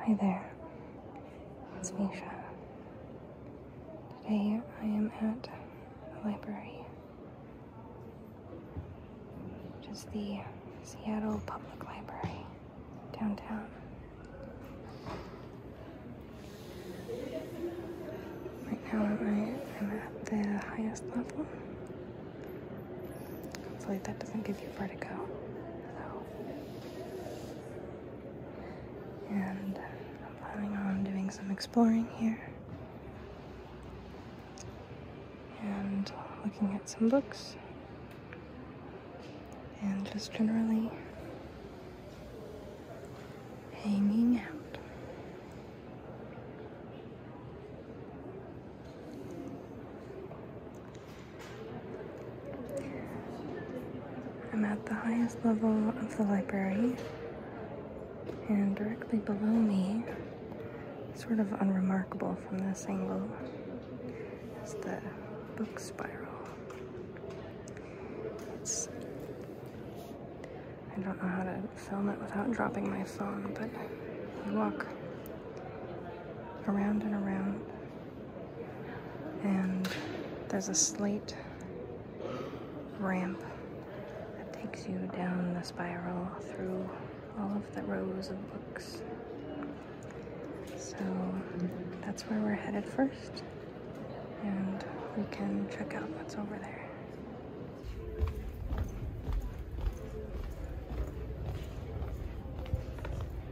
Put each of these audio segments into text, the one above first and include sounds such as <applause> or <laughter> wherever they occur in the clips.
Hi there, it's Misha. Today I am at the library, which is the Seattle Public Library downtown. Right now I am at the highest level, Hopefully that doesn't give you vertigo. So, and I'm planning on doing some exploring here. And looking at some books. And just generally hanging out. I'm at the highest level of the library, and directly below me, sort of unremarkable from this angle, is the book spiral. I don't know how to film it without dropping my phone, but you walk around and around and there's a slate ramp that takes you down the spiral through all of the rows of books. So that's where we're headed first. And we can check out what's over there.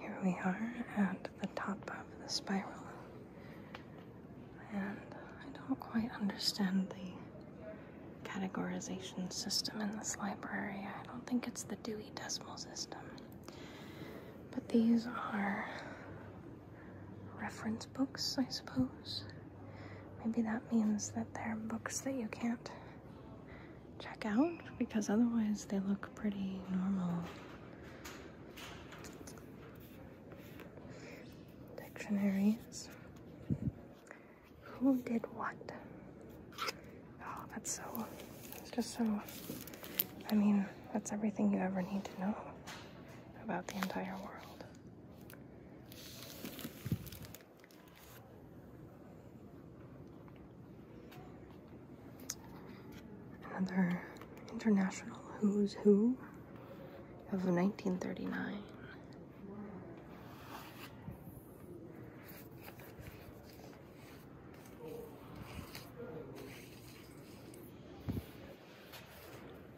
Here we are at the top of the spiral. And I don't quite understand the categorization system in this library. I don't think it's the Dewey Decimal System. But these are reference books, I suppose. Maybe that means that they're books that you can't check out because otherwise they look pretty normal. Dictionaries. Who did what? Oh, that's so, it's just so, I mean, that's everything you ever need to know about the entire world. Another international who's who of 1939.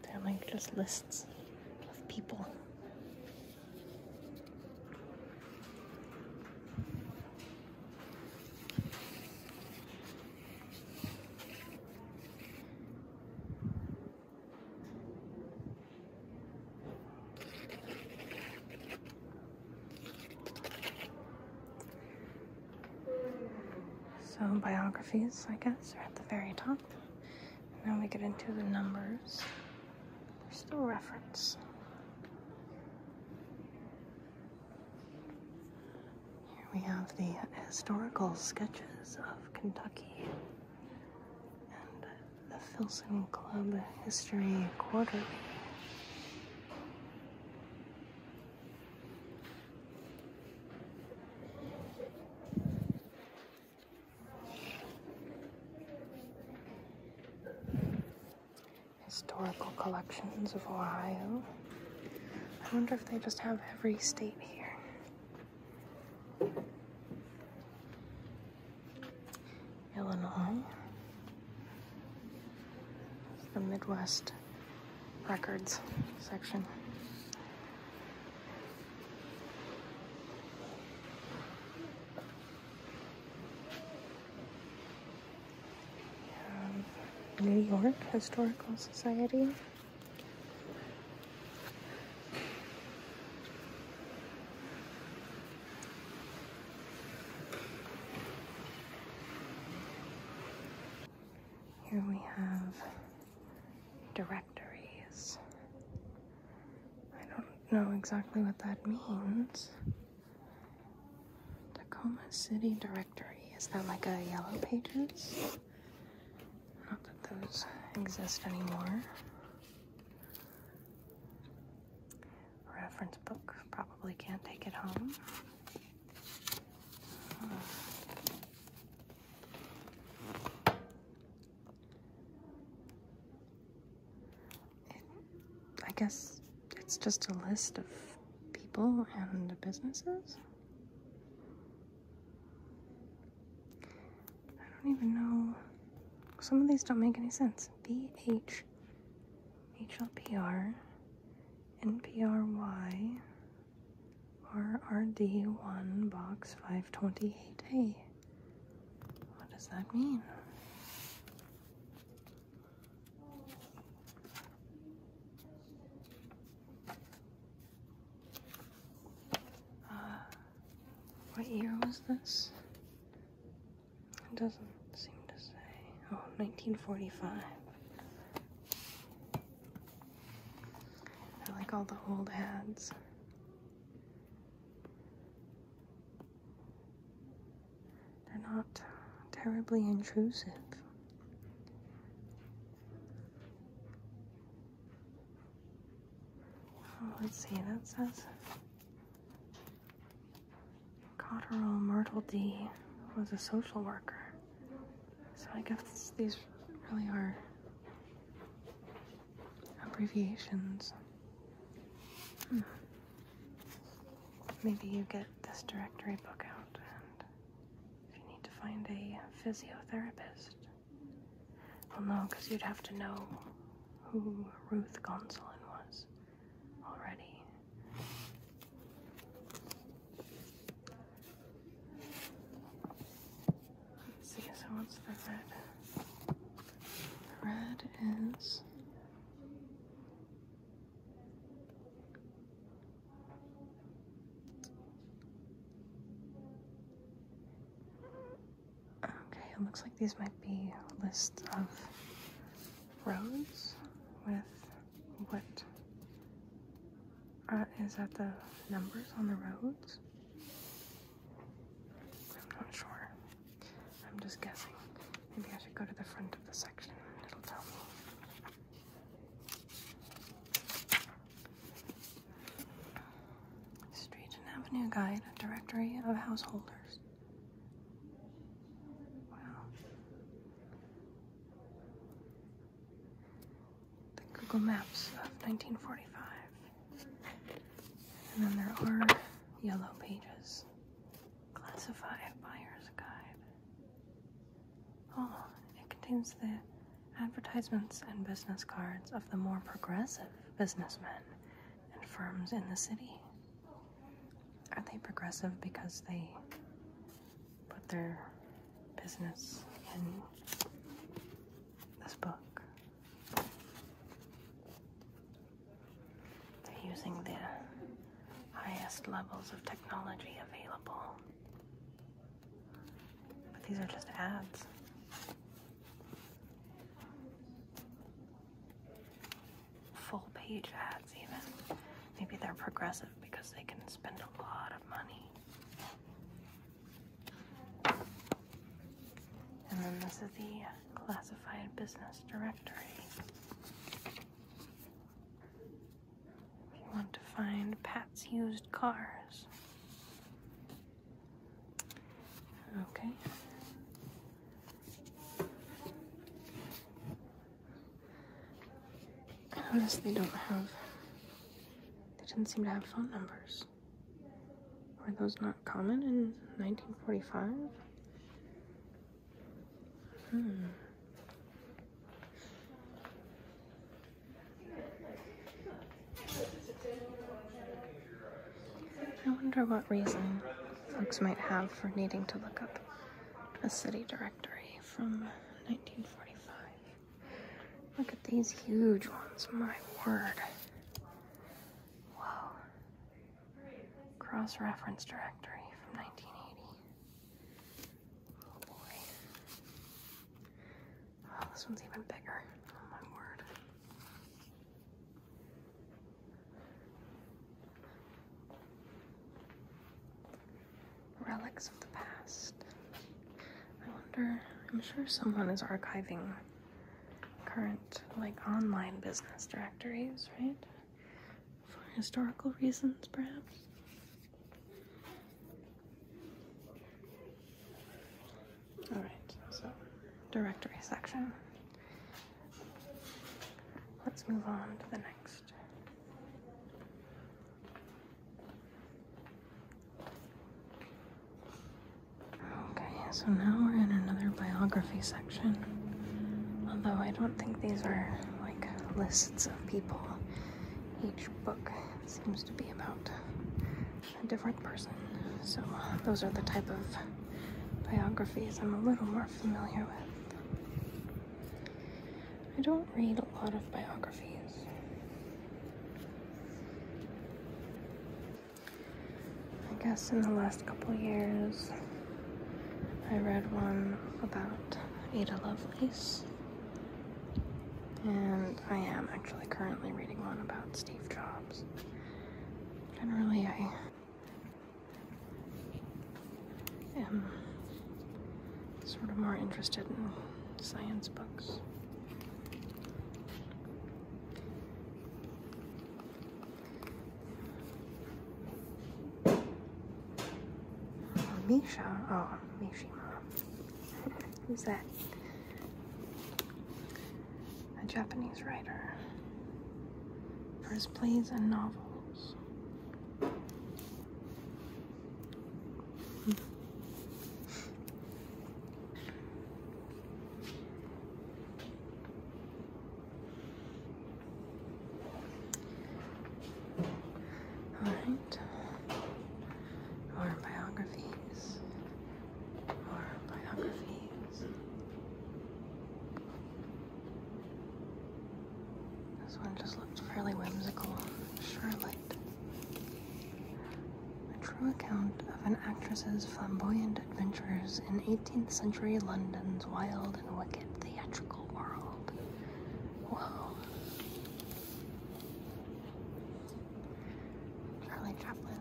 They're like just lists of people. So biographies, I guess, are at the very top. And now we get into the numbers. There's still reference. Here we have the historical sketches of Kentucky and the Philson Club History Quarterly. Historical collections of Ohio. I wonder if they just have every state here. Illinois. the Midwest records section. Um, New York Historical Society. Here we have directories. I don't know exactly what that means. Tacoma City Directory. Is that like a Yellow Pages? Not that those exist anymore. Reference book. Probably can't take it home. I guess it's just a list of people and businesses. I don't even know. Some of these don't make any sense. VH, RRD1 box 528A. What does that mean? Uh, what year was this? It doesn't seem to say. Oh, 1945. I like all the old ads. They're not terribly intrusive. Oh, let's see, that says Cotterell Myrtle D was a social worker. So I guess these really are abbreviations. Maybe you get this directory book out and if you need to find a physiotherapist. Well, no, because you'd have to know who Ruth Gonsolin was already. Let's see, so what's the red? The red is. Okay, it looks like these might be a list of rows with what uh, is that the numbers on the roads? I'm not sure. I'm just guessing. Maybe I should go to the front of the section and it'll tell me. Street and Avenue Guide, Directory of Householders. Wow the Google Maps of 1945. And then there are yellow pages classified buyer's guide. Oh, it contains the advertisements and business cards of the more progressive businessmen and firms in the city. Are they progressive because they put their business in this book. They're using the highest levels of technology available. But these are just ads. Full page ads, even. Maybe they're progressive because they can spend a lot of money. And then this is the classified business directory. If you want to find Pat's used cars. Okay. I notice they don't have, they didn't seem to have phone numbers. Were those not common in 1945? Hmm. I wonder what reason folks might have for needing to look up a city directory from 1945. Look at these huge ones, my word. Whoa. Cross reference directory from 1980. Oh boy. Oh, this one's even bigger. Oh, my word relics of the past. I wonder, I'm sure someone is archiving current, like, online business directories, right? For historical reasons, perhaps? Alright, so, directory section. Let's move on to the next. Okay, so now we're in another biography section. Although I don't think these are like lists of people. Each book seems to be about a different person. So those are the type of biographies I'm a little more familiar with. I don't read a lot of biographies. I guess in the last couple years, I read one about Ada Lovelace. And I am actually currently reading one about Steve Jobs. Generally, I am sort of more interested in science books. Misha. Oh, Mishima. <laughs> Who's that? A Japanese writer. For his plays and novels. All right. Or biographies. Or biographies. This one just looked fairly whimsical. Charlotte. A true account of an actress's flamboyant adventures in 18th century London's wild and wicked theatrical world. Whoa. Charlie Chaplin.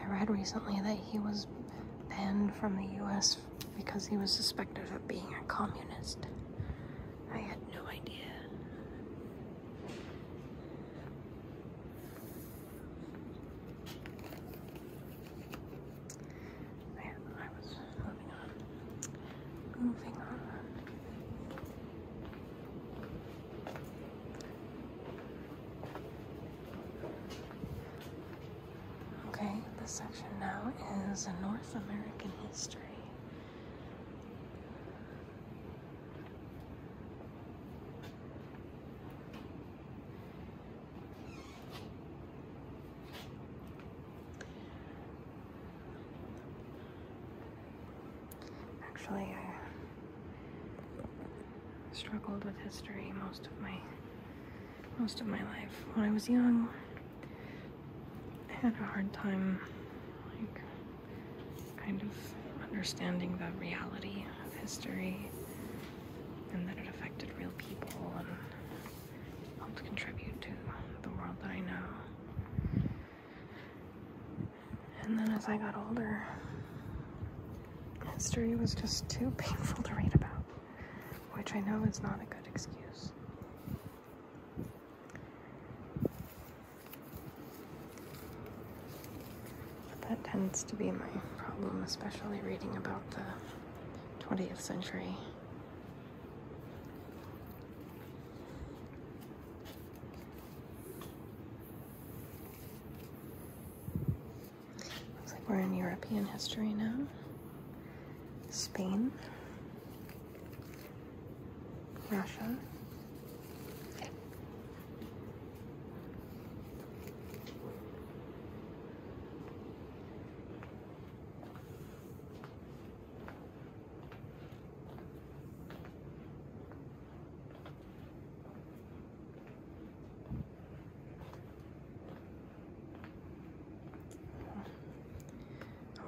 I read recently that he was banned from the U.S because he was suspected of being a communist. I had no idea. I, I was moving on. Moving on. Okay, this section now is a North American history. Actually, I struggled with history most of my most of my life. When I was young, I had a hard time, like, kind of understanding the reality of history and that it affected real people and helped contribute to the world that I know. And then as I got older, history was just too painful to read about which I know is not a good excuse. But that tends to be my problem, especially reading about the 20th century. Looks like we're in European history now. Spain, Russia.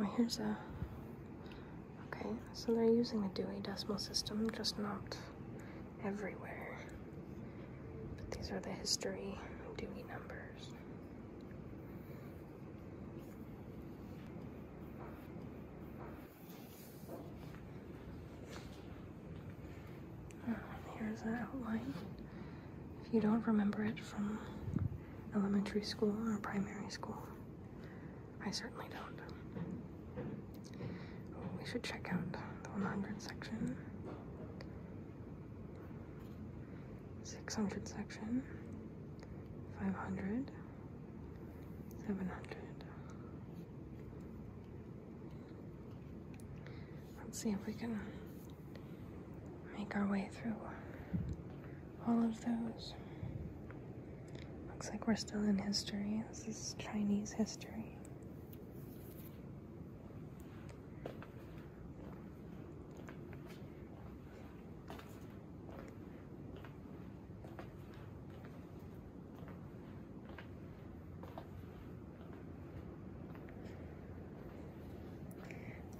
Oh, here's a. Okay, so they're using the Dewey Decimal System, just not everywhere. But these are the history Dewey numbers. Oh, here's an outline if you don't remember it from elementary school or primary school. I certainly don't. We should check out the 100 section, 600 section, 500, 700. Let's see if we can make our way through all of those. Looks like we're still in history. This is Chinese history.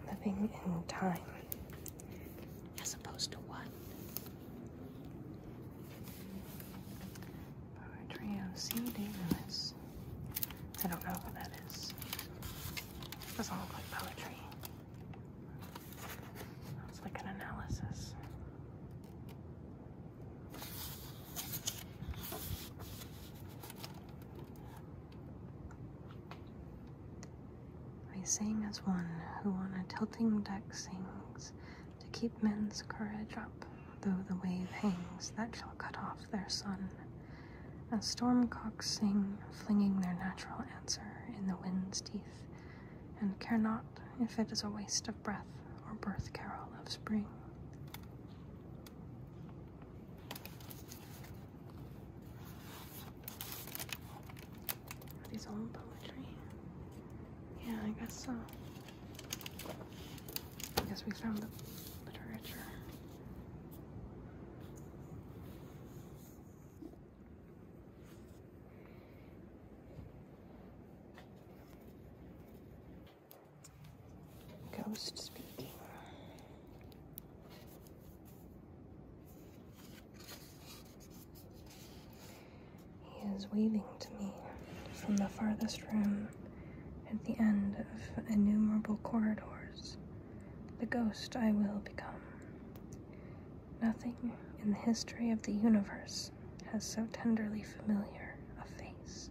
Living in time as opposed to one. Poetry of C. D. Lewis. I don't know what that is. doesn't look like poetry. It's like an analysis. I sing as one who on a tilting deck sings to keep men's courage up, though the wave hangs that shall cut off their sun. As storm cocks sing, flinging their natural answer in the wind's teeth, and care not if it is a waste of breath or birth carol of spring. Are these all poetry? Yeah, I guess so. I guess we found the literature. Ghost speaking. He is waving to me from the farthest room at the end of innumerable corridors, the ghost I will become. Nothing in the history of the universe has so tenderly familiar a face.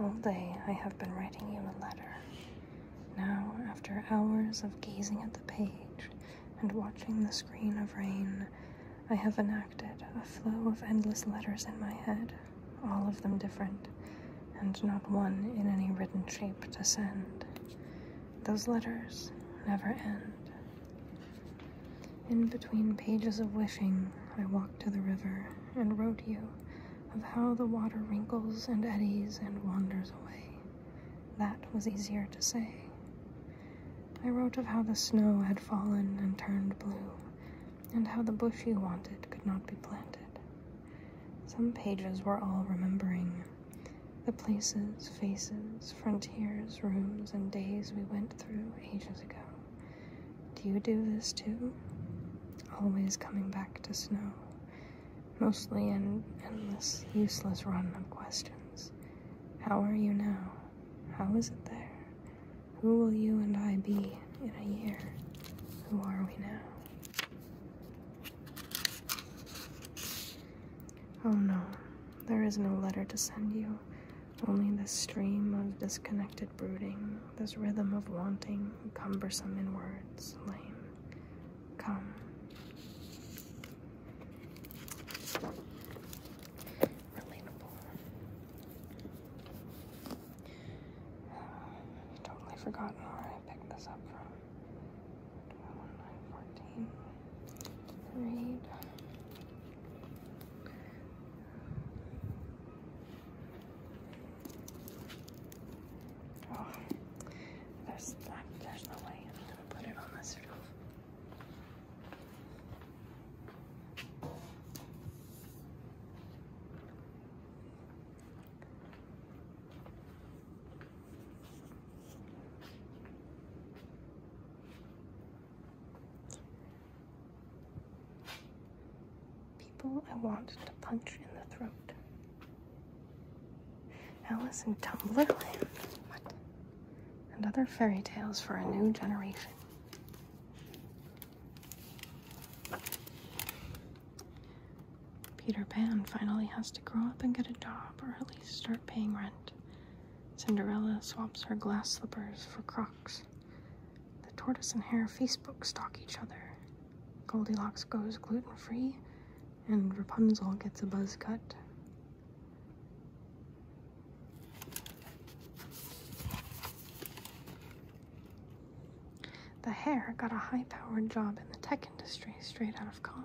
all day I have been writing you a letter. Now, after hours of gazing at the page, and watching the screen of rain, I have enacted a flow of endless letters in my head, all of them different, and not one in any written shape to send. Those letters never end. In between pages of wishing, I walked to the river and wrote you of how the water wrinkles and eddies and wanders away. That was easier to say. I wrote of how the snow had fallen and turned blue, and how the bush you wanted could not be planted. Some pages were all remembering the places, faces, frontiers, rooms, and days we went through ages ago. Do you do this too? Always coming back to snow, mostly an endless, useless run of questions. How are you now? How is it there? Who will you and I be in a year? Who are we now? Oh no, there is no letter to send you, only this stream of disconnected brooding, this rhythm of wanting, cumbersome in words, lame. Come i um, totally forgotten where I picked this up from. Oh, there's, there's no way I'm put it on this shelf. People I want to punch in the throat. Alice in Tumblr, and other fairy tales for a new generation. Peter Pan finally has to grow up and get a job, or at least start paying rent. Cinderella swaps her glass slippers for crocs. The tortoise and hare Facebook stalk each other. Goldilocks goes gluten free, and Rapunzel gets a buzz cut. The Hare got a high powered job in the tech industry straight out of college.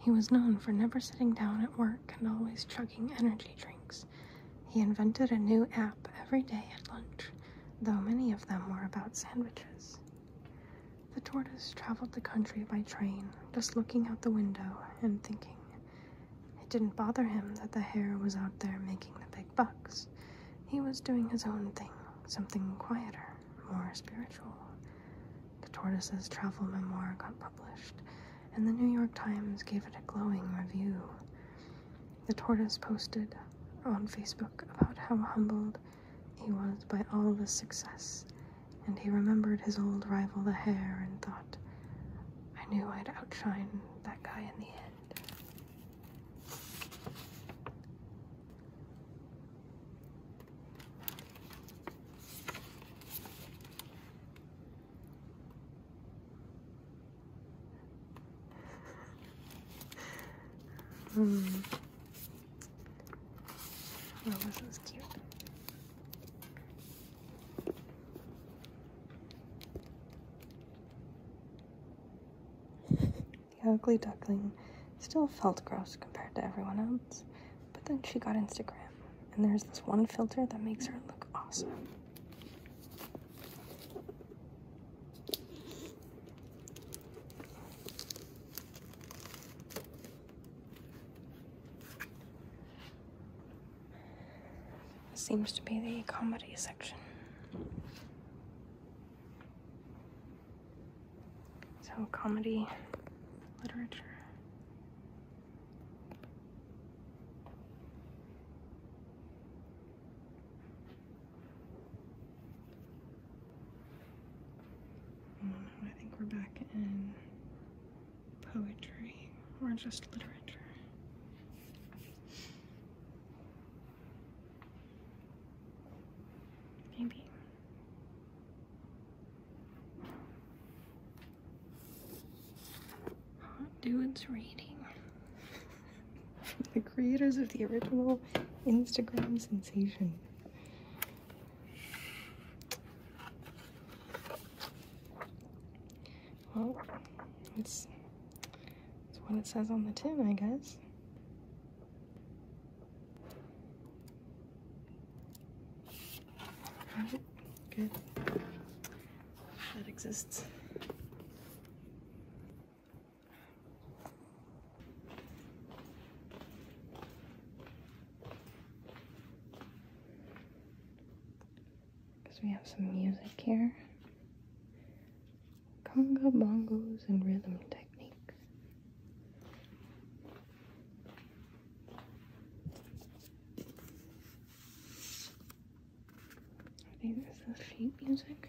He was known for never sitting down at work and always chugging energy drinks. He invented a new app every day at lunch, though many of them were about sandwiches. The tortoise traveled the country by train, just looking out the window and thinking. It didn't bother him that the hare was out there making the big bucks. He was doing his own thing, something quieter, more spiritual. The tortoise's travel memoir got published, and the New York Times gave it a glowing review. The tortoise posted on Facebook about how humbled he was by all the success and he remembered his old rival the hare and thought, I knew I'd outshine that guy in the end. <laughs> mm. Oh, <laughs> the ugly duckling still felt gross compared to everyone else, but then she got Instagram, and there's this one filter that makes her look awesome. This seems to be the comedy section. So, comedy, literature. Mm, I think we're back in poetry or just literature. Maybe. Hot dudes reading. <laughs> the creators of the original Instagram sensation. Well, it's, what it says on the tin, I guess. good. That exists. Because we have some music here. Conga bongos and rhythm techniques. I think this is sheet music.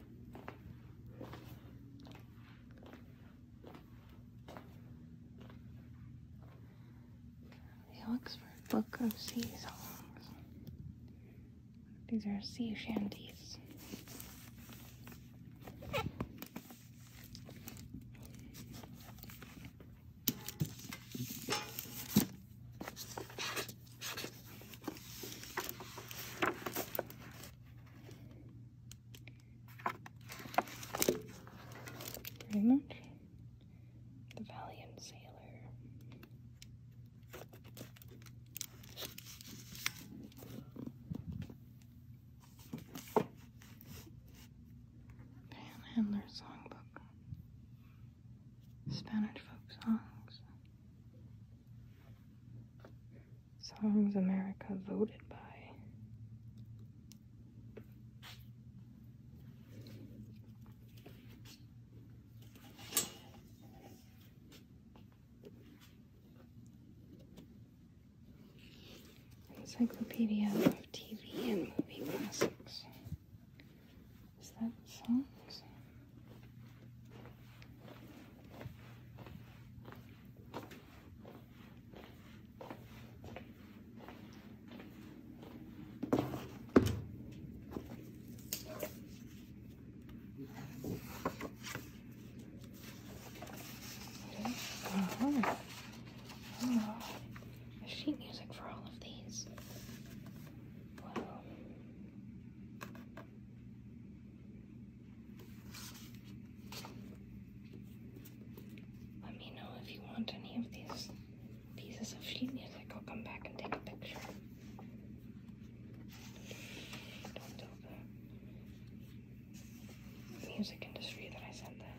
The Oxford Book of Sea Songs. These are sea shanties. Pretty much. The Valiant Sailor. Panhandler Songbook. Spanish folk songs. Songs America voted by. Encyclopedia of TV and Movie Classics. Is that songs? sheet music for all of these. Let me know if you want any of these pieces of sheet music. I'll come back and take a picture. Don't tell music industry that I sent that.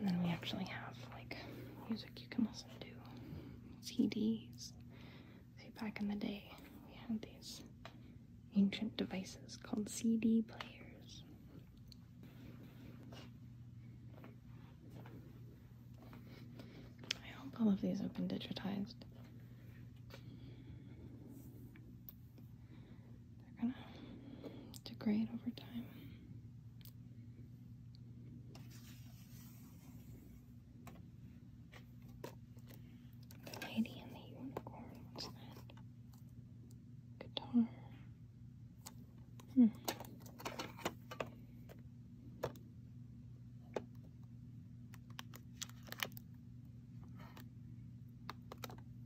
And then we actually have like music you can listen to, CDs. See, back in the day, we had these ancient devices called CD players. I hope all of these have been digitized they're gonna degrade over time. The lady and the unicorn, what's that? Guitar. Hmm.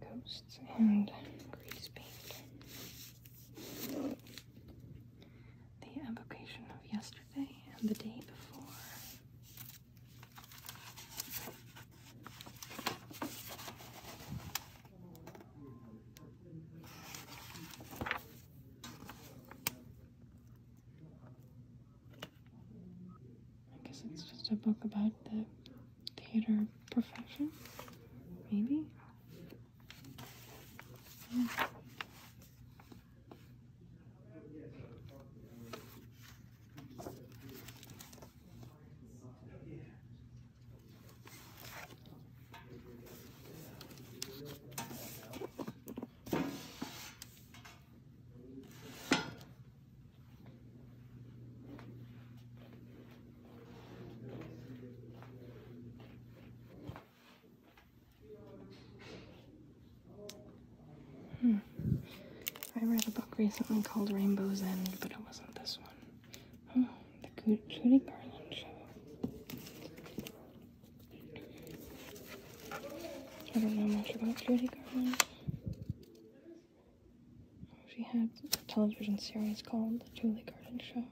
Ghosts and grease paint. The evocation of yesterday and the day before. I guess it's just a book about the theater profession, maybe. Hmm. I read a book recently called Rainbow's End, but it wasn't this one. Oh, the Cootie Garland Show. I don't know much about Judy Garland. Oh, she had a television series called The Julie Garland Show.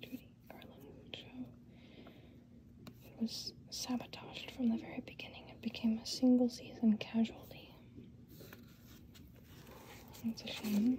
Judy Garland Show. It was sabotaged from the very beginning. It became a single season casualty. That's a shame.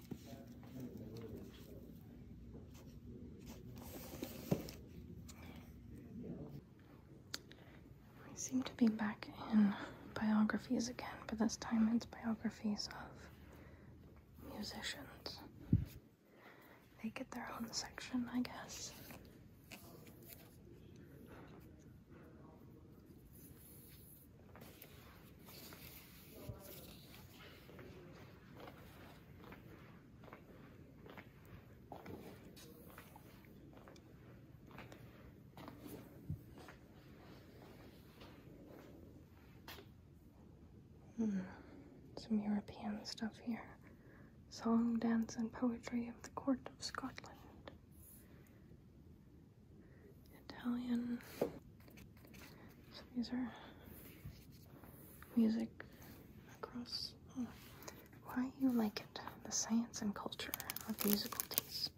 We seem to be back in biographies again, but this time it's biographies of musicians. They get their own section, I guess. Hmm. Some European stuff here. Song, dance, and poetry of the court of Scotland. Italian these are music across. Why you like it? The science and culture of musical taste.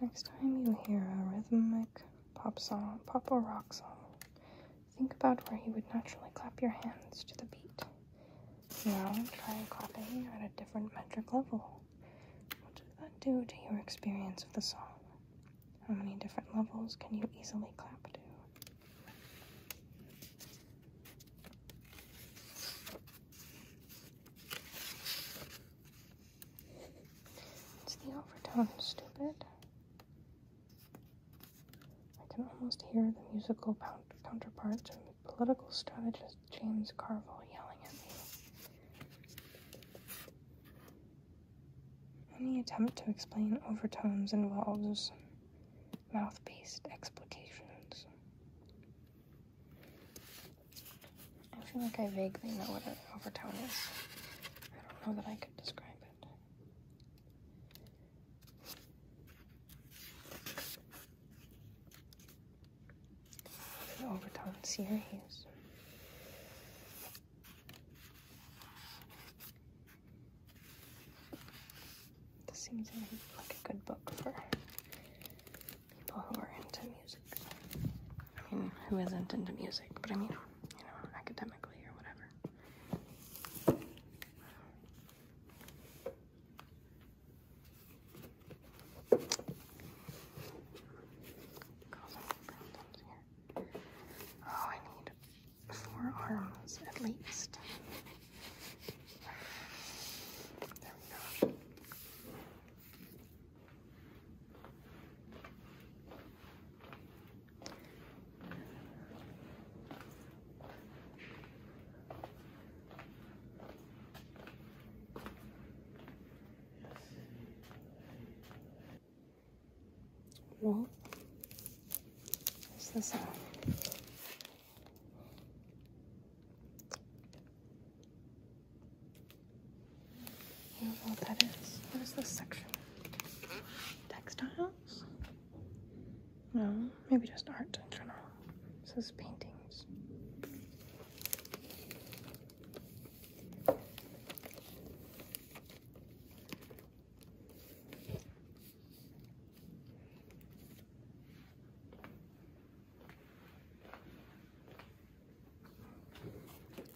Next time you hear a rhythmic pop song, pop or rock song, Think about where you would naturally clap your hands to the beat. Now try clapping at a different metric level. What did that do to your experience of the song? How many different levels can you easily clap to? It's the overtone, stupid. I can almost hear the musical counterpart to political strategist James Carville yelling at me. Any attempt to explain overtones involves mouth based explications. I feel like I vaguely know what an overtone is. I don't know that I could describe it. The Overton series. This seems like a good book for people who are into music. I mean, who isn't into music, but I mean, you know, academically or whatever. Oh, I need four arms at least. There we go. Well, this on? I do What is this section? Hmm? Textiles? No, maybe just art in general. This paintings.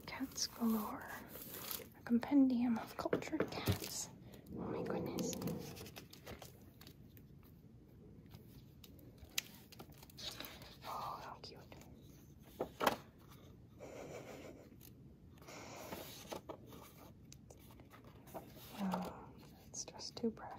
Cats galore. A compendium of cultured cats. Oh my goodness. Oh, how cute. Oh, that's just too precious.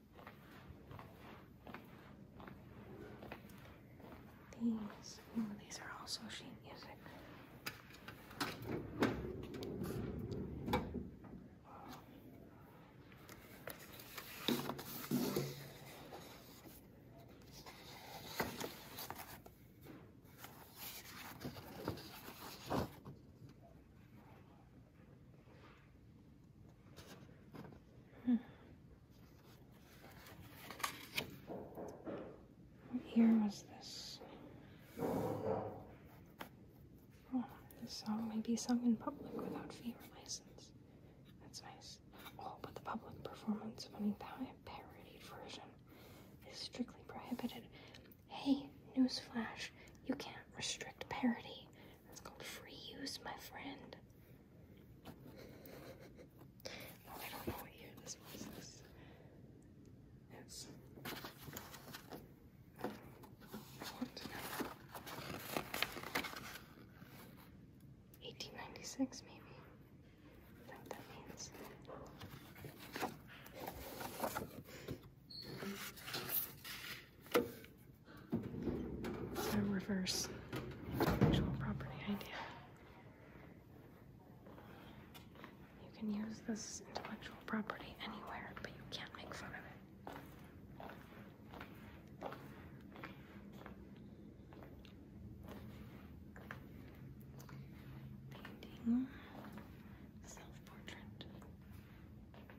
These, ooh, these are also sheet music. Hmm. What year was this? Oh, this song may be sung in public without fee or license. That's nice. Oh, but the public performance of any parody version is strictly prohibited. Hey, newsflash, you can't restrict parody. It's called free use, my friend. Oh, I don't know what year this was. It's. I want to know. 1896, maybe. what that means? So reverse intellectual property idea. You can use this intellectual property anywhere, but you can't make fun of it. Painting self portrait.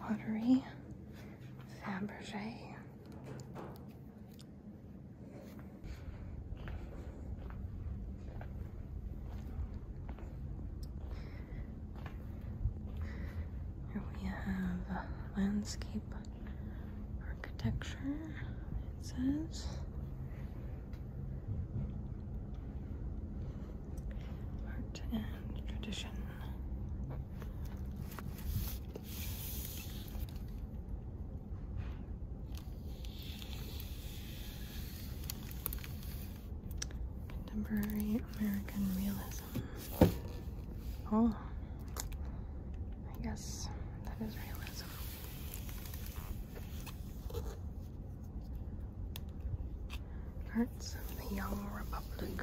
Pottery, Fabergé. Here we have landscape architecture, it says. Art and tradition. Contemporary American realism. Oh, I guess that is realism. Arts of the Young Republic.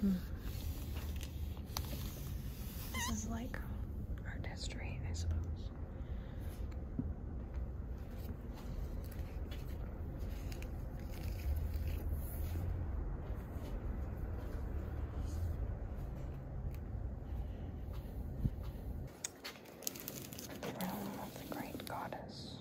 Hmm. This is like art history, I suppose. The realm of the great goddess.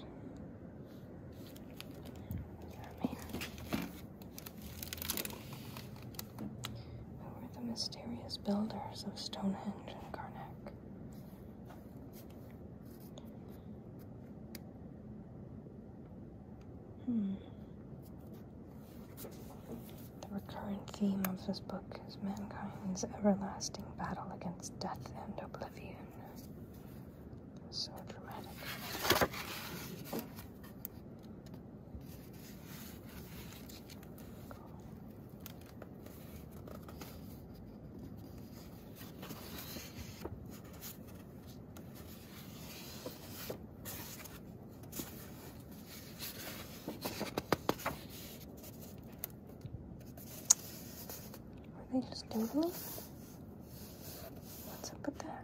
Over the mysterious builders of Stonehenge and Karnak, the recurrent theme of this book is mankind's everlasting battle against death and oblivion. So dramatic. Are they just doodling? What's up with that?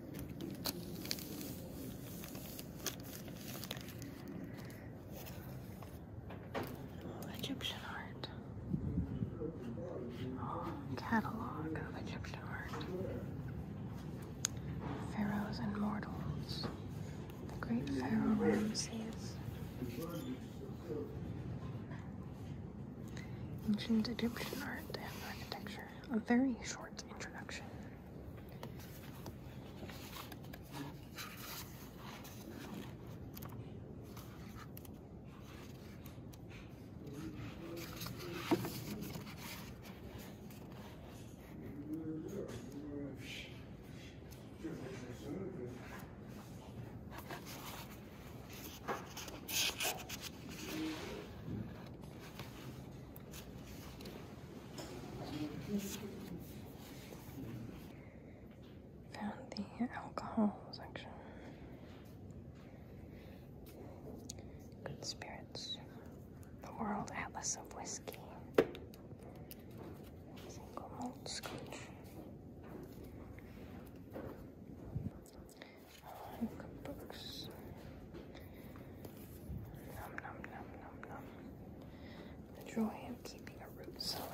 Egyptian art. Oh, catalog of Egyptian art. Pharaohs and mortals. The great Pharaoh Ramses. Ancient Egyptian art and architecture a very short introduction. Found the alcohol section. Good spirits. The World Atlas of Whiskey. Single malt scotch books. Nom nom nom nom nom. The joy of keeping a root cellar.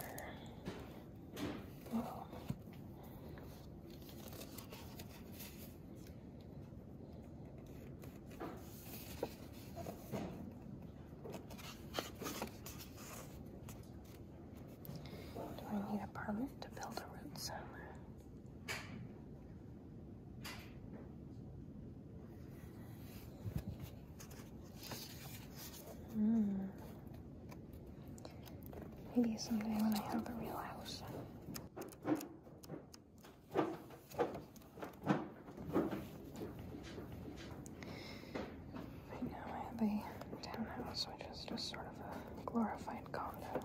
Do I need a permit to build a root cellar? Mm. Maybe someday when I have a real house. Right now I have a townhouse, which is just sort of a glorified condo.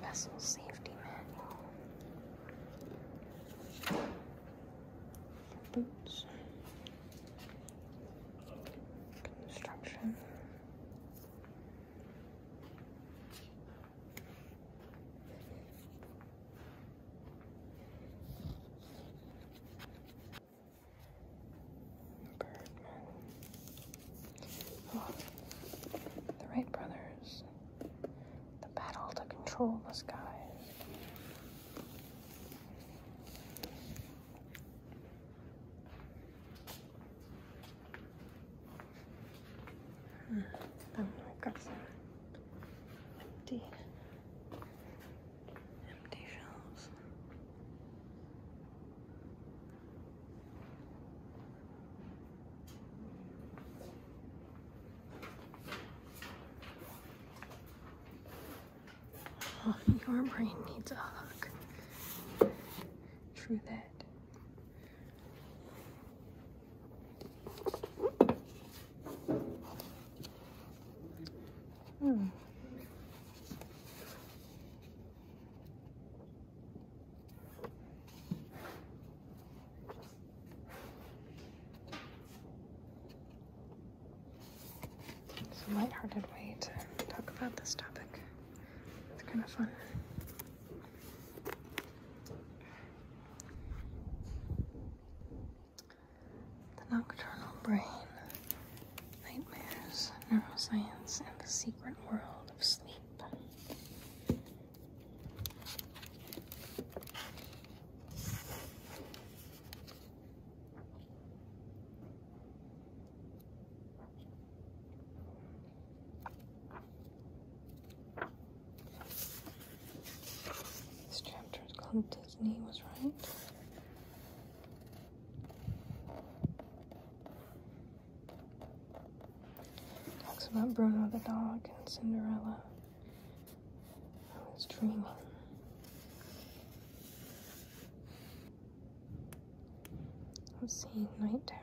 Vessel safety manual. Boots. Construction. Birdman. the Wright brothers. The battle to control the skies. Oh, hmm. I've empty, empty shells. <laughs> your brain needs a hug. True that. Hmm. It's a lighthearted way to talk about this topic. It's kind of fun. The nocturnal brain Nightmares, Neuroscience, and the Secret World of Sleep. This chapter is called Disney Was Right talks about Bruno the dog and Cinderella. I was dreaming. Let's see, night terrors.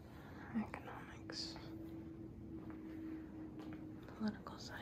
economics, political science.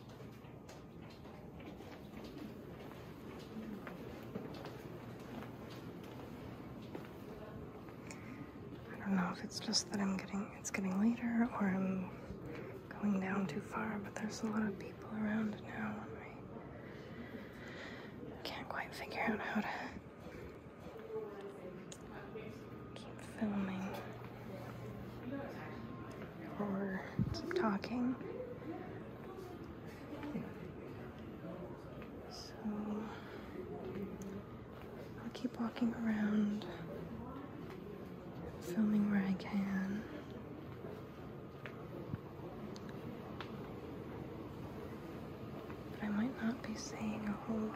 I don't know if it's just that I'm getting it's getting later or I'm going down too far, but there's a lot of people around now and I can't quite figure out how to keep filming or keep talking. So I'll keep walking around, filming where I can. I might not be saying a whole lot.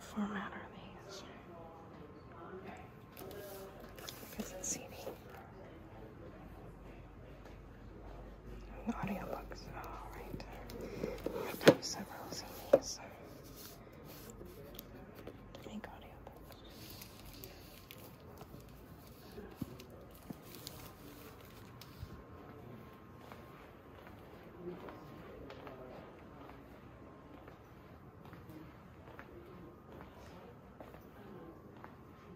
format are these? I guess CD. Audiobooks, alright. You have to do several CDs.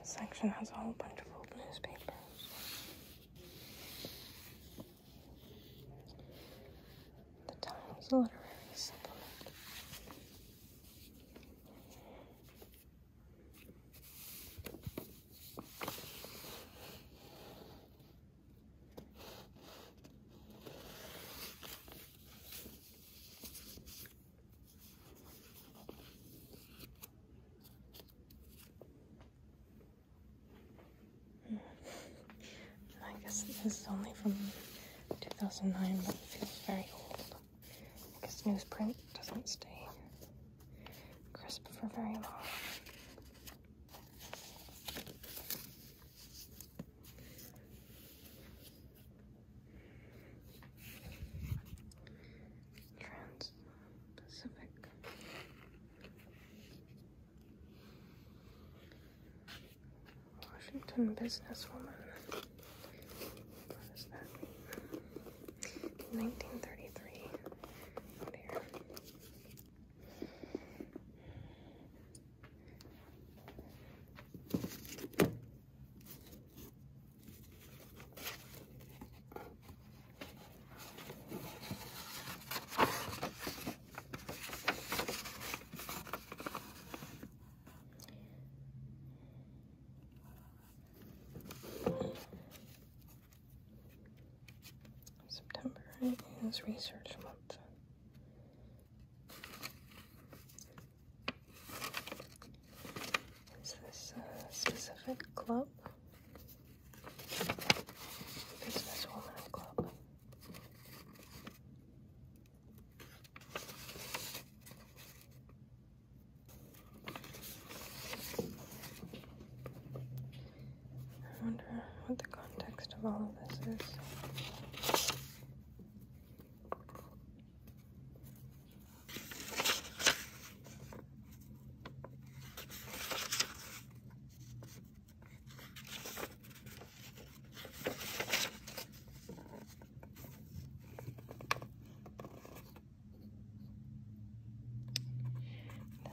This section has a whole bunch of old newspapers. The Times Literary Supplement. I guess this is only from 2009, but it feels very old. I guess newsprint doesn't stay crisp for very long. Trans Pacific. Washington businesswoman. 1933. September is research month. Is this a specific club? Businesswoman club. I wonder what the context of all of this is.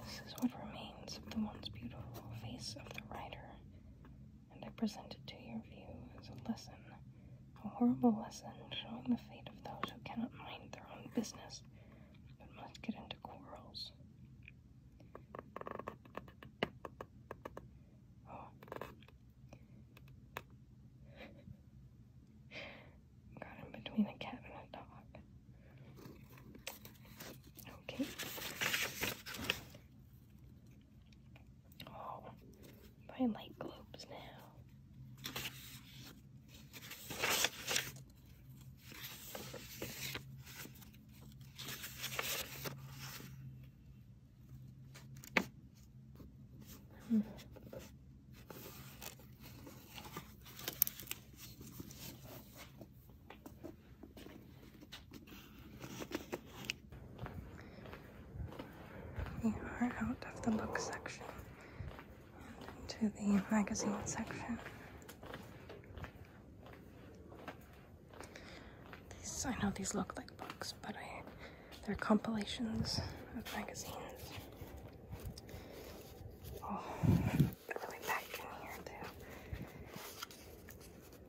This is what remains of the once beautiful face of the writer and I present it to your view as a lesson, a horrible lesson showing the fate of those who cannot mind their own business, but must get into quarrels. Oh. Got in between a cat and a dog. Okay. Oh, I like globes now. Hmm. We are out of the book section and into the magazine section. These, I know these look like books, but they're compilations of magazines. Oh, they're really in here too.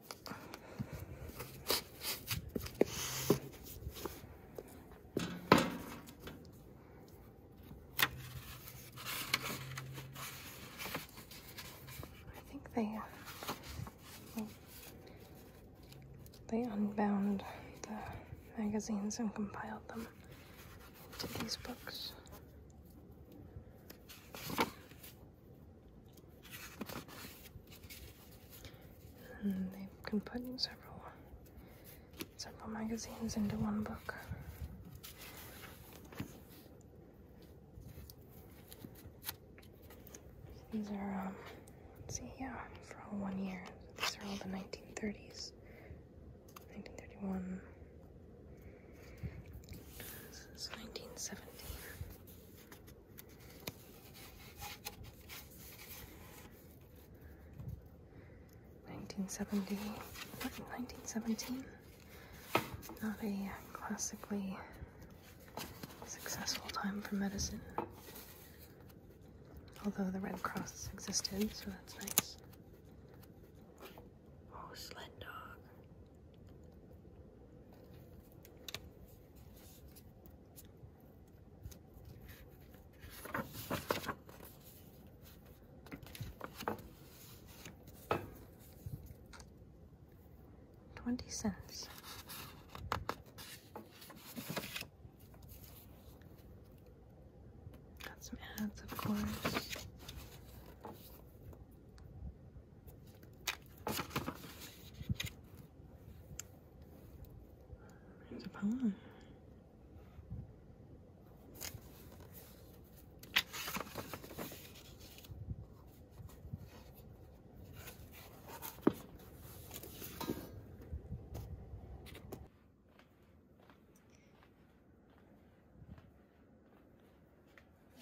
I think they uh, they unbound the magazines and compiled them into these books they can put several several magazines into one book. These are, um, let's see, yeah, for all one year. These are all the 1930s. 1931. This 1970, Not a classically successful time for medicine. Although the Red Cross existed, so that's nice. Oh, sled dog. Twenty cents. Got some ads, of course. There's a poem.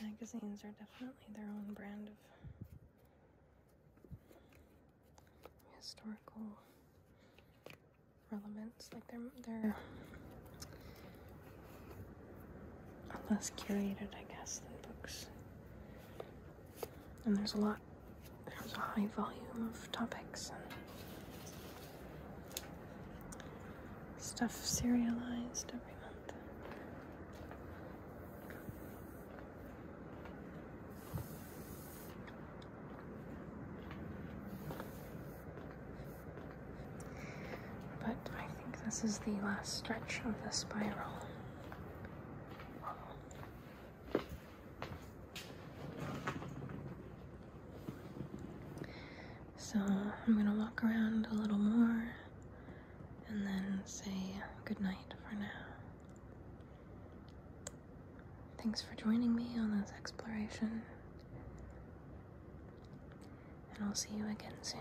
Magazines are definitely their own brand of historical relevance. Like they're they're less curated, I guess, than books. And there's a lot. There's a high volume of topics and stuff serialized every month. But I think this is the last stretch of the spiral. So I'm going to walk around a little more and then say goodnight for now. Thanks for joining me on this exploration, and I'll see you again soon.